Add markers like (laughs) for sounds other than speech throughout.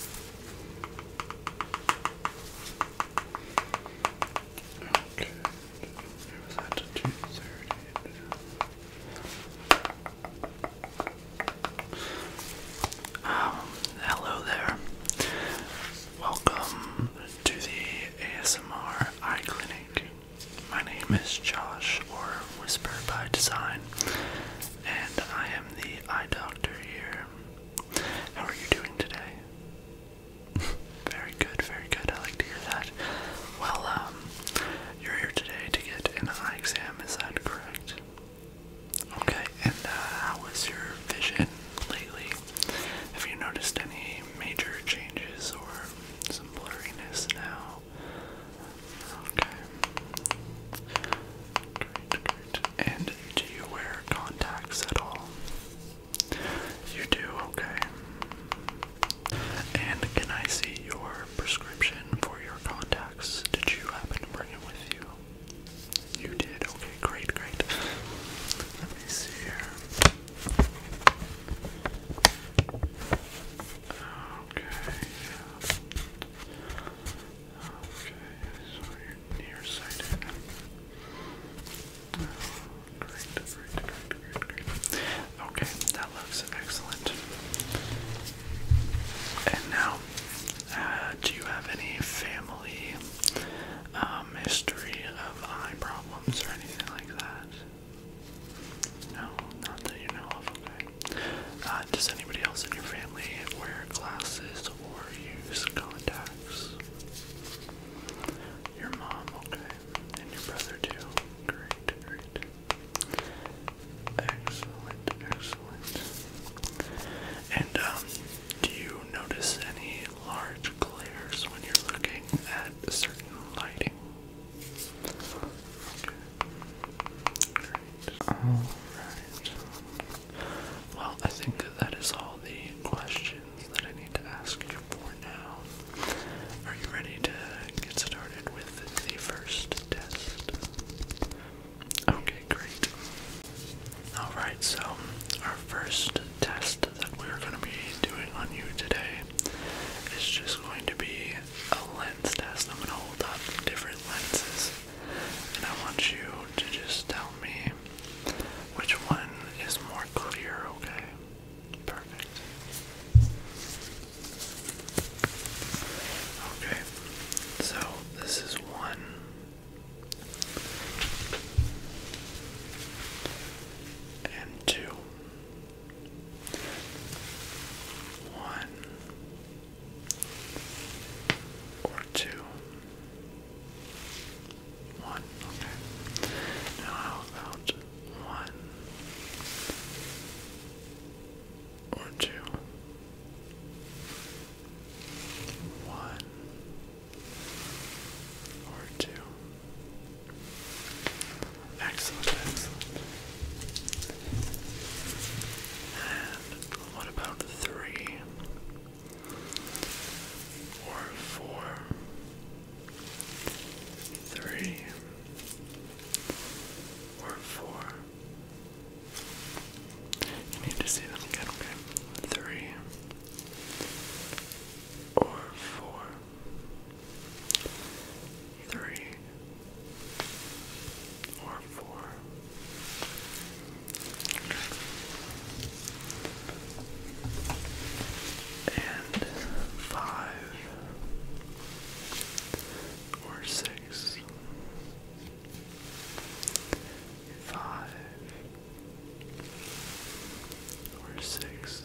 Okay, it was at 2.30. Um, hello there. Welcome to the ASMR Eye Clinic. My name is Josh, or Whisper by Design, and I am the eye doctor here. How are you doing today? (laughs) very good, very good. I like to hear that. Well, um, you're here today to get an eye exam, is that correct? Okay, and uh, how was your vision lately? Have you noticed any major changes or some blurriness now? Okay. Great, great. And do you wear contacts at all? You do, okay. And can I see your prescription for your contacts? Did you happen to bring it with you? You did, okay, great, great. Let me see here. Okay. Okay, so you're nearsighted. great, great, great, great, great. Okay, that looks excellent. And now, uh, do you have any family um, history of eye problems or anything like that? No, not that you know of, okay. Uh, does anybody else in your family wear glasses or use contacts. Your mom, okay, and your brother too. Great, great. Excellent, excellent. And um, do you notice any large glares when you're looking at certain lighting? Okay. Great. Alright. Well, I think that is all the questions that I need to ask you for now. Are you ready to get started with the first test? Okay, great. Alright, so our first test that we're going to be doing on you today is just going to be a lens test. I'm going to hold up different lenses and I want you to just tell me which one is more clear, okay? Perfect. Okay, so this is one. And two. One or two one, okay. Now about one or two? One or two. excellent. And what about three? or four, three, or four. You need to see them again, okay? Three, or four, three, or four and five or six, five or six,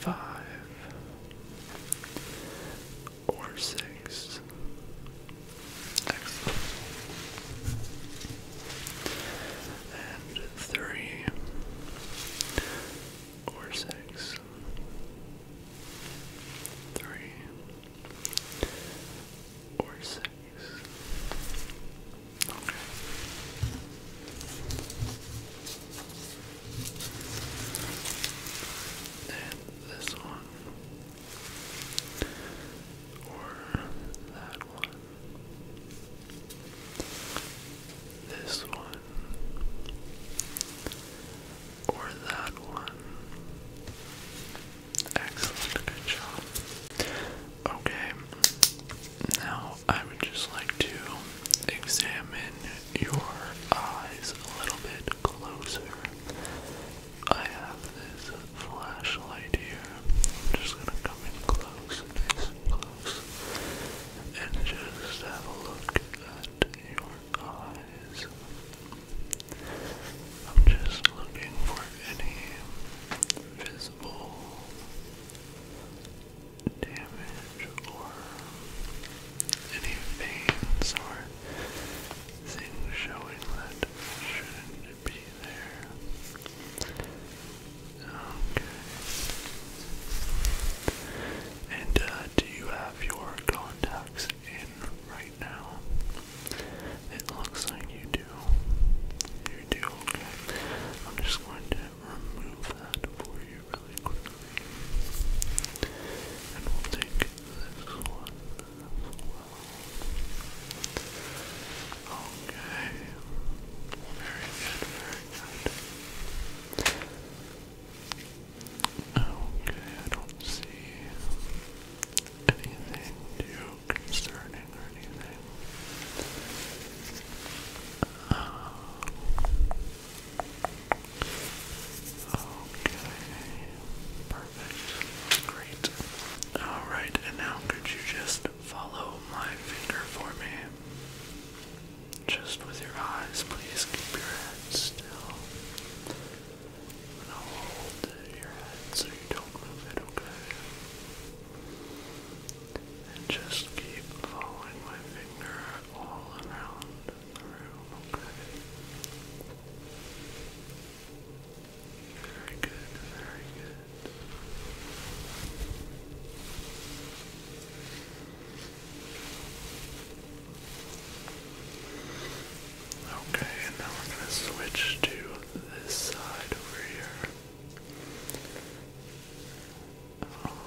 five or six. Excellent. And three or six. Three or six. And this one. Or that one. This one. Or that one. Excellent, good job. Okay, now I would just like to examine your eyes a little bit closer. I have this flashlight here. I'm just gonna come in close, nice and close, and just have a look at your eyes. I'm just looking for any visible damage or any veins or things showing that shouldn't be there. Okay. And uh, do you have your contacts in right now? It looks like you do. You do, okay. I'm just going to remove that for you really quickly. And we'll take this one Okay. Very good, very good. Okay, I don't see anything too concerning or anything. Um, okay, Great. Alright, and now could you just follow my finger for me? Just with your eyes, please keep your head still. And I'll hold your head so you don't move it, okay? And just keep following my finger all around the room, okay? Very good, very good. Okay, and now we're going to switch to this side over here. Okay.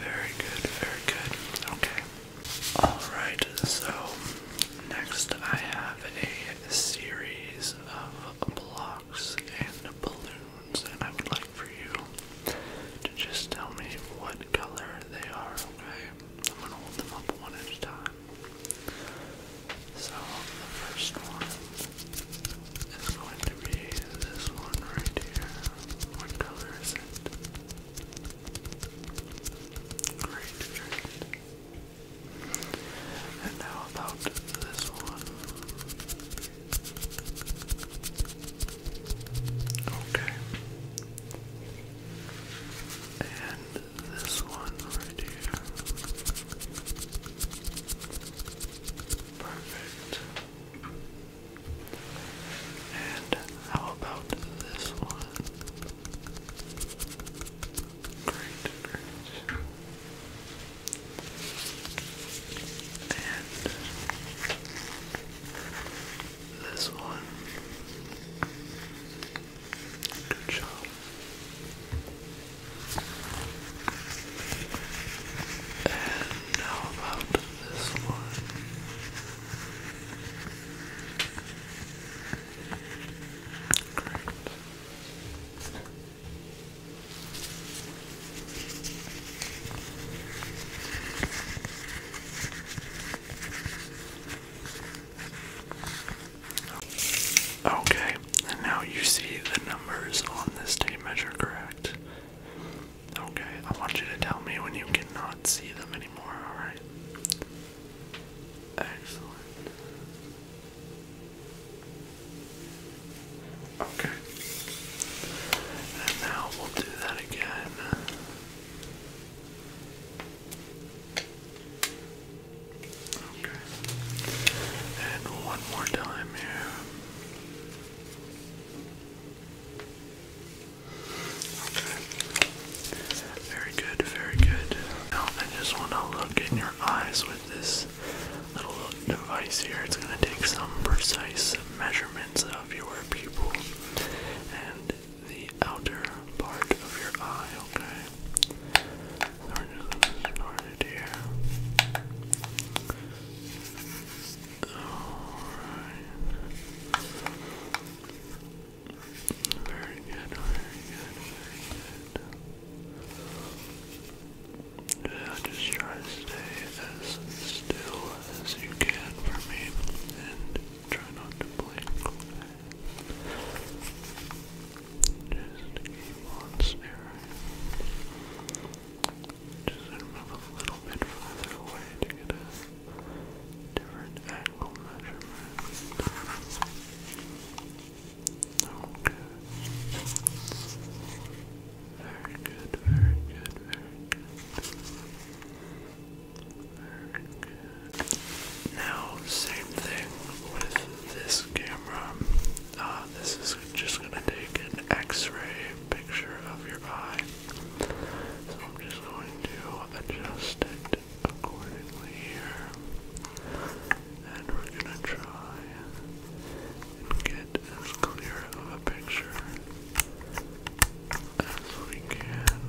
Very good, very good. Okay. Alright, so next I have a series of blocks and balloons, and I would like for you to just tell me what color they are, okay? I'm gonna hold them up one at a time. So the first one is going to be this one right here. What color is it? Great, And now about this one. Okay. And this one right here. Perfect. And how about this one? Great, And this one. Good job. And now about this one. Great. Okay, and now you see the numbers on this tape measure, correct? Okay, I want you to tell me when you cannot see them anymore, alright? Excellent. Okay. And now we'll do that again. Okay. And one more time here. Very good, very good. I just want to look in your eyes with this little device here. It's going to take some precise measurements of your pupil and the outer part of your eye, okay? So Alright. very good, very good. Yeah, just try to stay as still as you can for me and try not to blink. Just keep on staring. Just move a little bit further away to get a different angle measurement. Okay. Very good, very good, very good. Now, same thing with this camera. Ah, this is just gonna take an X-ray picture of your eye. So I'm just going to adjust it accordingly here, and we're gonna try and get as clear of a picture as we can.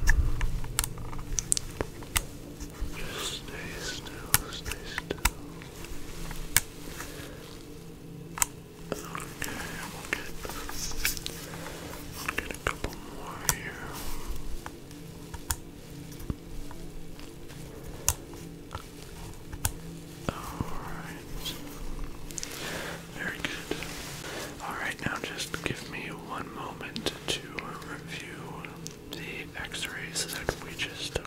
Just stay still, stay still. Okay, we'll get, we'll get a couple more here. Alright. Very good. Alright, now just give me one moment to review the x-rays that we just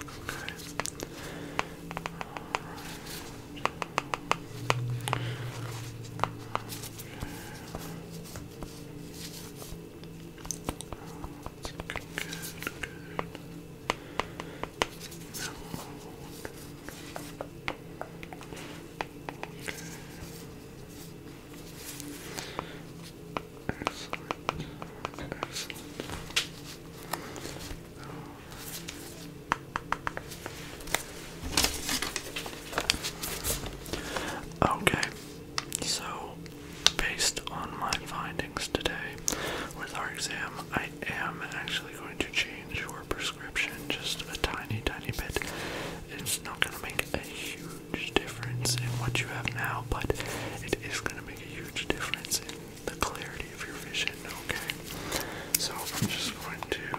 Okay, so based on my findings today with our exam, I am actually going to change your prescription just a tiny, tiny bit. It's not going to make a huge difference in what you have now, but it is going to make a huge difference in the clarity of your vision, okay? So I'm just going to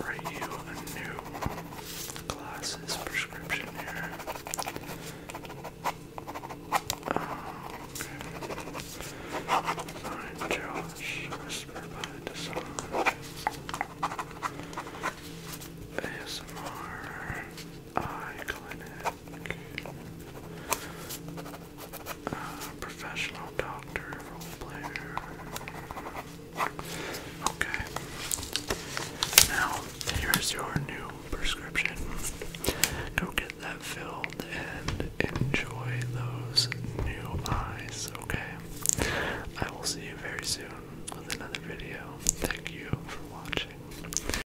write you a new glasses prescription here. Oh, Josh, whisper by the song. ASMR. Eye clinic. Uh, professional doctor, role player. Okay. Now, here's your new prescription. Go get that filled and enjoy those new eyes, okay? I will see you very soon with another video. Thank you for watching.